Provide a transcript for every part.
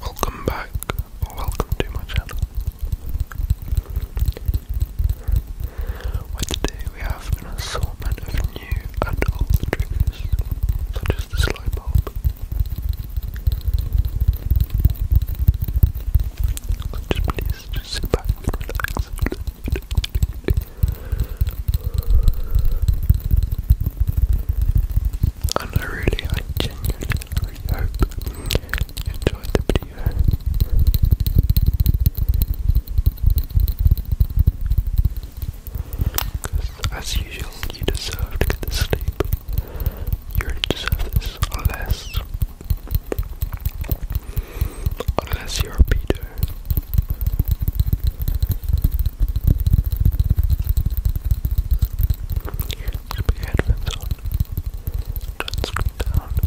Welcome back, welcome to my channel. Where today we have an assortment of new and old triggers, such as this light bulb, so just please just sit back and relax. And I really, I genuinely, really hope you enjoyed the video. Because, as usual, you deserve to get the sleep. You really deserve this, unless, unless you're a pedo. Just put your headphones on. Turn the screen down. Just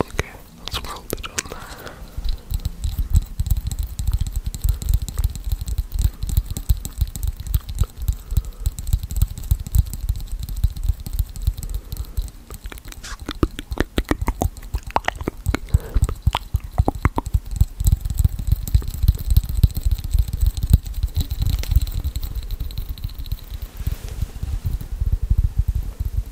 Okay, let's weld it on there. Okay,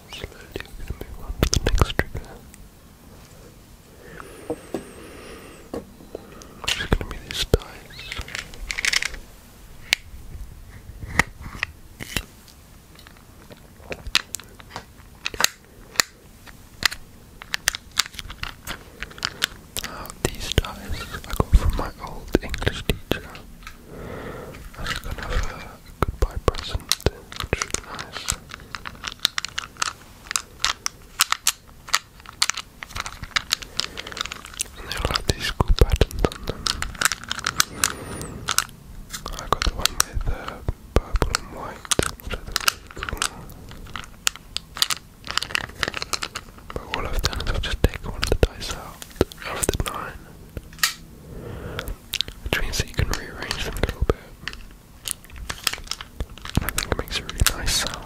Slowly going to move on to the next trigger. Which going to be this dice. Uh, these dice I got from my old English teacher as kind of a a goodbye present, which nice. they'll have these cool patterns on them. I got the one with the purple and white, But what I've done is just taken one of the dice out, of the nine, which means that you can rearrange them a little bit. I think it makes a really nice sound.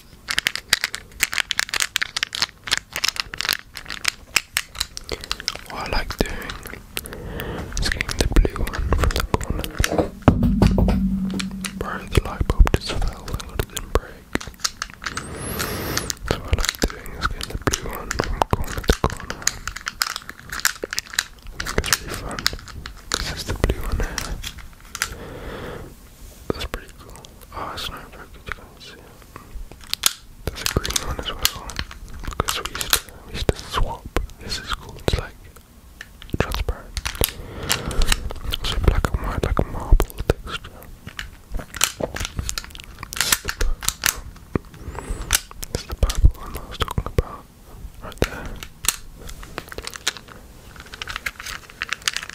What I like doing is getting the blue one from the corner. Bro, the light bulb just fell and didn't break. what I like doing is getting the blue one from corner to corner. I think really fun because it's the blue one that's pretty cool. Oh, it's not very good. You see it. a green one as well. Because we used to, we used to swap. This is cool. It's like transparent. So black and white, like marble texture. That's the, the purple one I was talking about. Right there.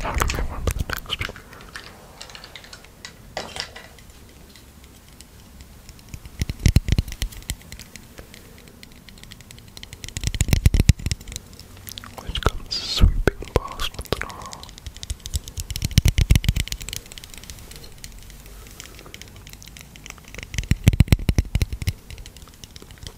How do we remember the next one? Which comes sweeping past London Hall.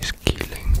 These key links.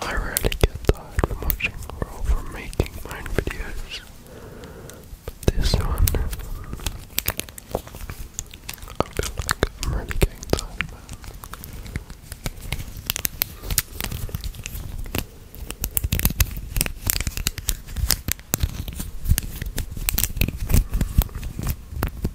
I really get tired from watching or from making my own videos. this one, I am really getting tired,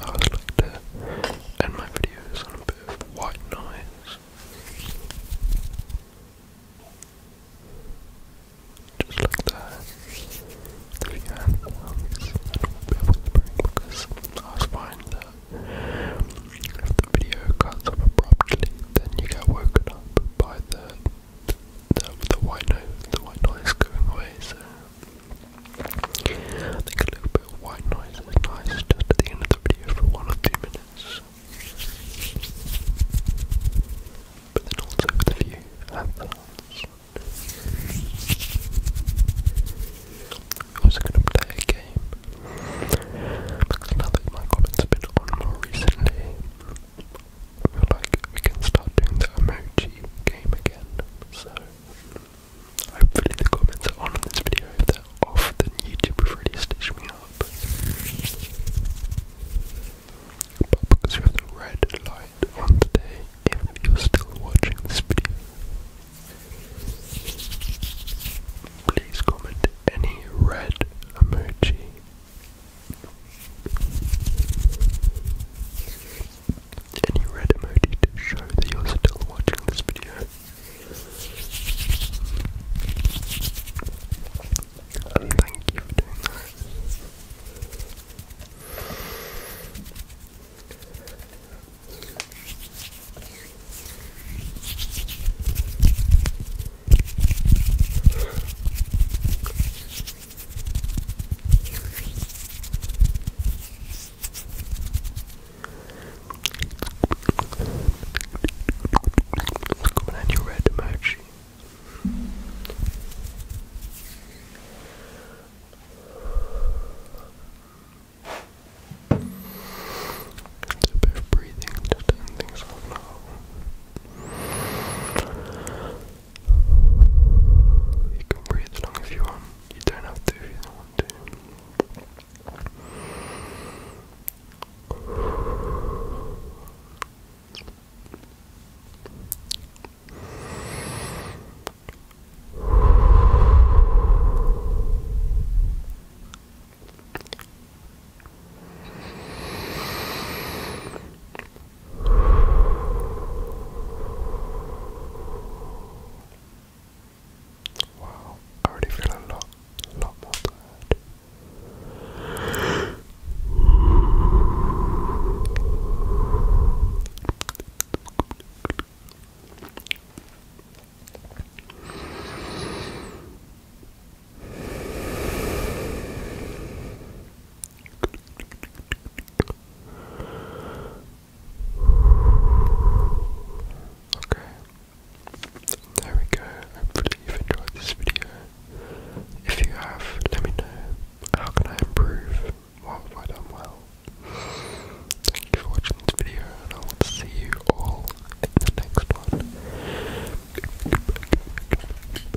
I always like to end my videos on a bit of white noise. Just like that. If you can, I don't want to be whispering because I was find if the video cuts off abruptly, then you get woken up by the that the, the white noise, the white noise going away. So I think a little bit of white noise is nice just at the end of the video for one or two minutes. But then also for the view I'm going to play a game because now that my comments have been more recently, I feel like we can start doing the emoji game again. So hopefully the comments are on in this video. If they're off, then YouTube will really stitch me up. But because we have the red light on today, even if you're still watching this video, please comment any red emoji any red emoji to show that you're still watching this video? And thank you for doing that. Coming at you red emoji. It's a bit of breathing to turn things off now. You can breathe long if you want. You don't have to if you don't want to. Wow, I already feel a lot, lot more tired. Okay. There we go. Hopefully you enjoyed this video. If you have, let me know how can I improve. What have I done well? Thank you for watching this video and I will see you all in the next one.